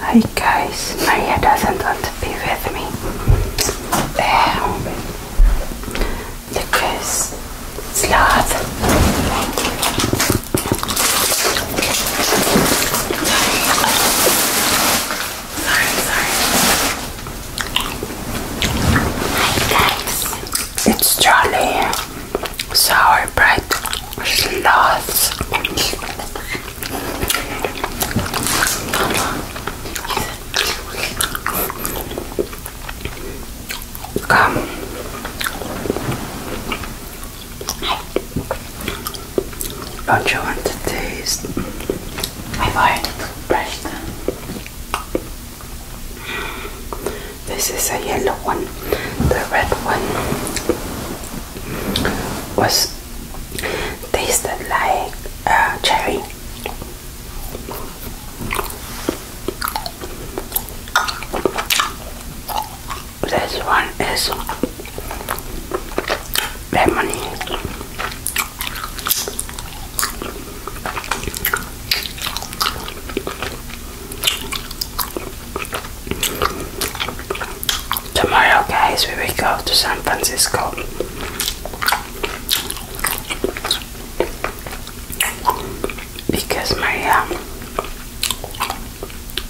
Hi guys, Maria doesn't want to be with me um, because it's loud. Sorry, sorry. Hi guys, it's Charlie sour bread sloths. Come. Don't you want to taste? I've already this is a yellow one. The red one was tasted like uh, cherry. This one is lemony. Tomorrow, guys, we will go to San Francisco. Because my um,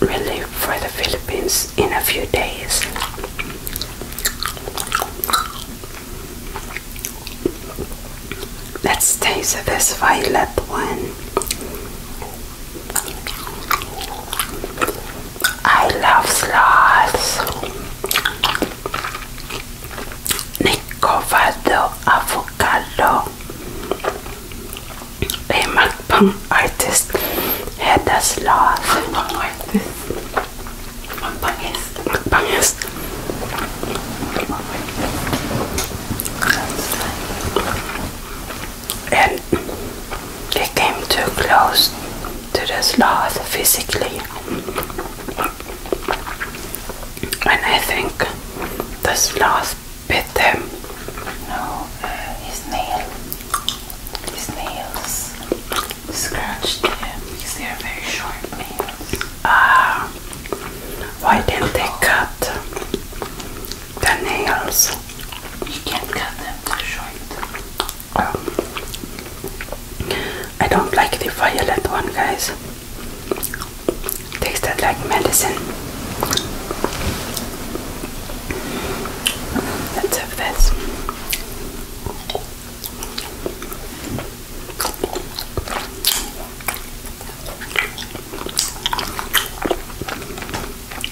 we leave for the Philippines in a few days. Let's taste this violet one. I love sloths. Nicovado avocado. A mukbang artist had a sloth. Mukbang artist. Mukbangist. Mukbangist. And he came too close to the sloth physically. And I think the sloth bit them. No, uh, his nail. His nails scratched him because they are very sharp nails uh, why didn't they cut the nails? You can't cut them, short. Um, I don't like the violet one, guys. Tasted like medicine. Let's have this.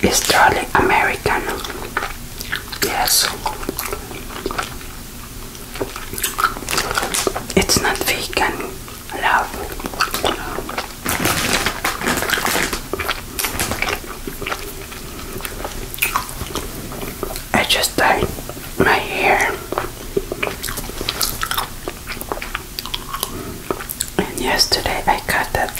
It's totally American. Yes. It's not vegan, love. I just dyed my hair. And yesterday I caught it.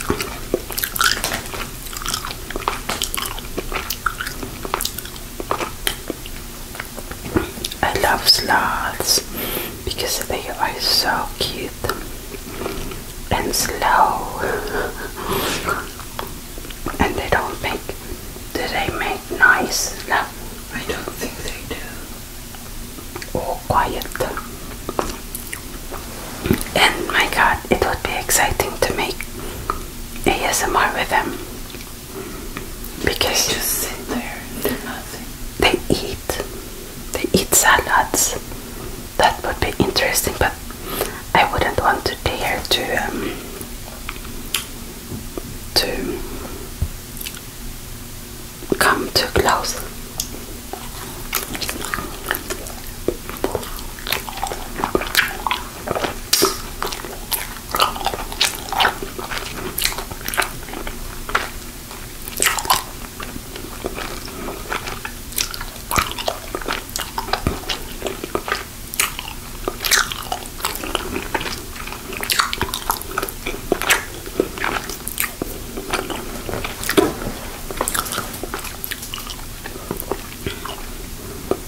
I love sloths because they are so cute and slow. and they don't make do they make noise? No, I don't think they do. Or oh, quiet. And my god, it would be exciting to make ASMR with them. Because they sit there They eat. They eat salads. That would be interesting, but I wouldn't want to dare to um, to come too close.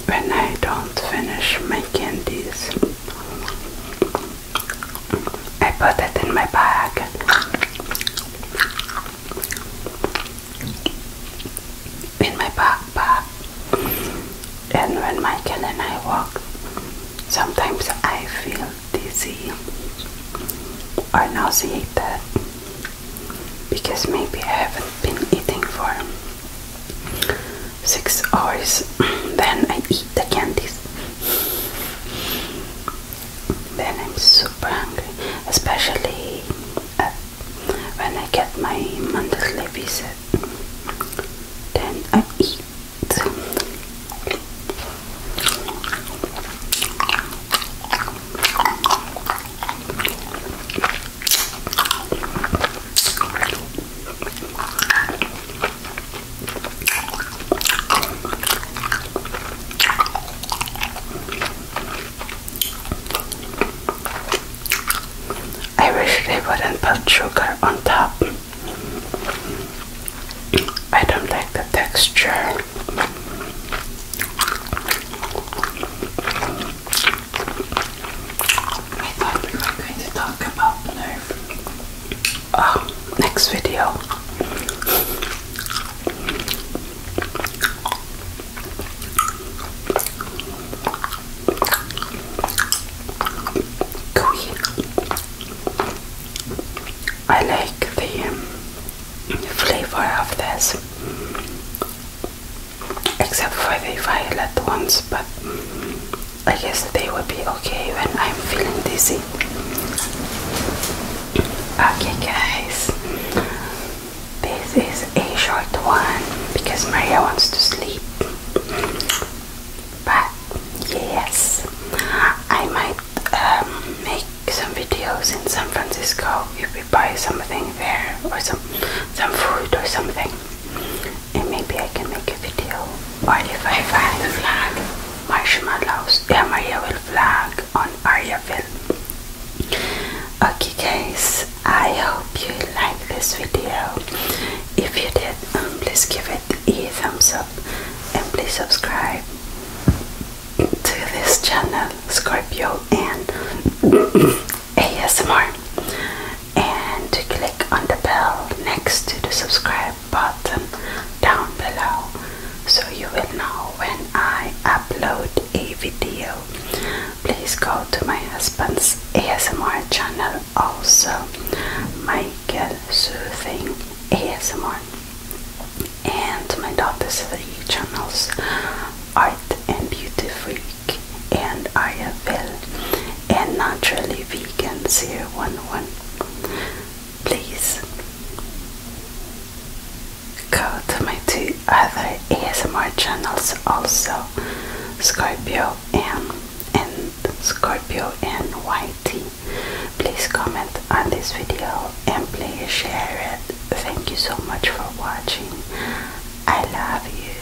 When I don't finish my candies, I put it in my bag in my backpack. And when Michael and I walk, sometimes I feel dizzy or nauseated because maybe I haven't been eating for six hours. then I eat the candies. Then I'm super hungry, especially when I get my monthly visit. Then I eat. I wish they wouldn't put sugar on top. I don't like the texture. I thought we were going to talk about nerve. Oh, next video. I like the um, flavor of this, except for the violet ones, but I guess they will be okay when I'm feeling dizzy. Okay, guys, this is a short one because Maria wants to sleep. But yes, I might um, make some videos in San Francisco if we buy something there or some some food or something, and maybe I can make a video. Or if I find marshmallows, yeah, Maria will vlog on Ariaville. Okay guys, I hope you like this video. If you did, um, please give it a thumbs up and please subscribe to this channel, Scorpio and ASMR. And click on the bell next to the subscribe button down below so you will know when I upload a video. Please go to my husband's ASMR channel also, Michael Soothing ASMR, and my daughter's three channels, Art and Beauty Freak and I Will, and Naturally Vegan 011 please go to my two other ASMR channels also Scorpio M and Scorpio NYT. Please comment on this video and please share it. Thank you so much for watching. I love you.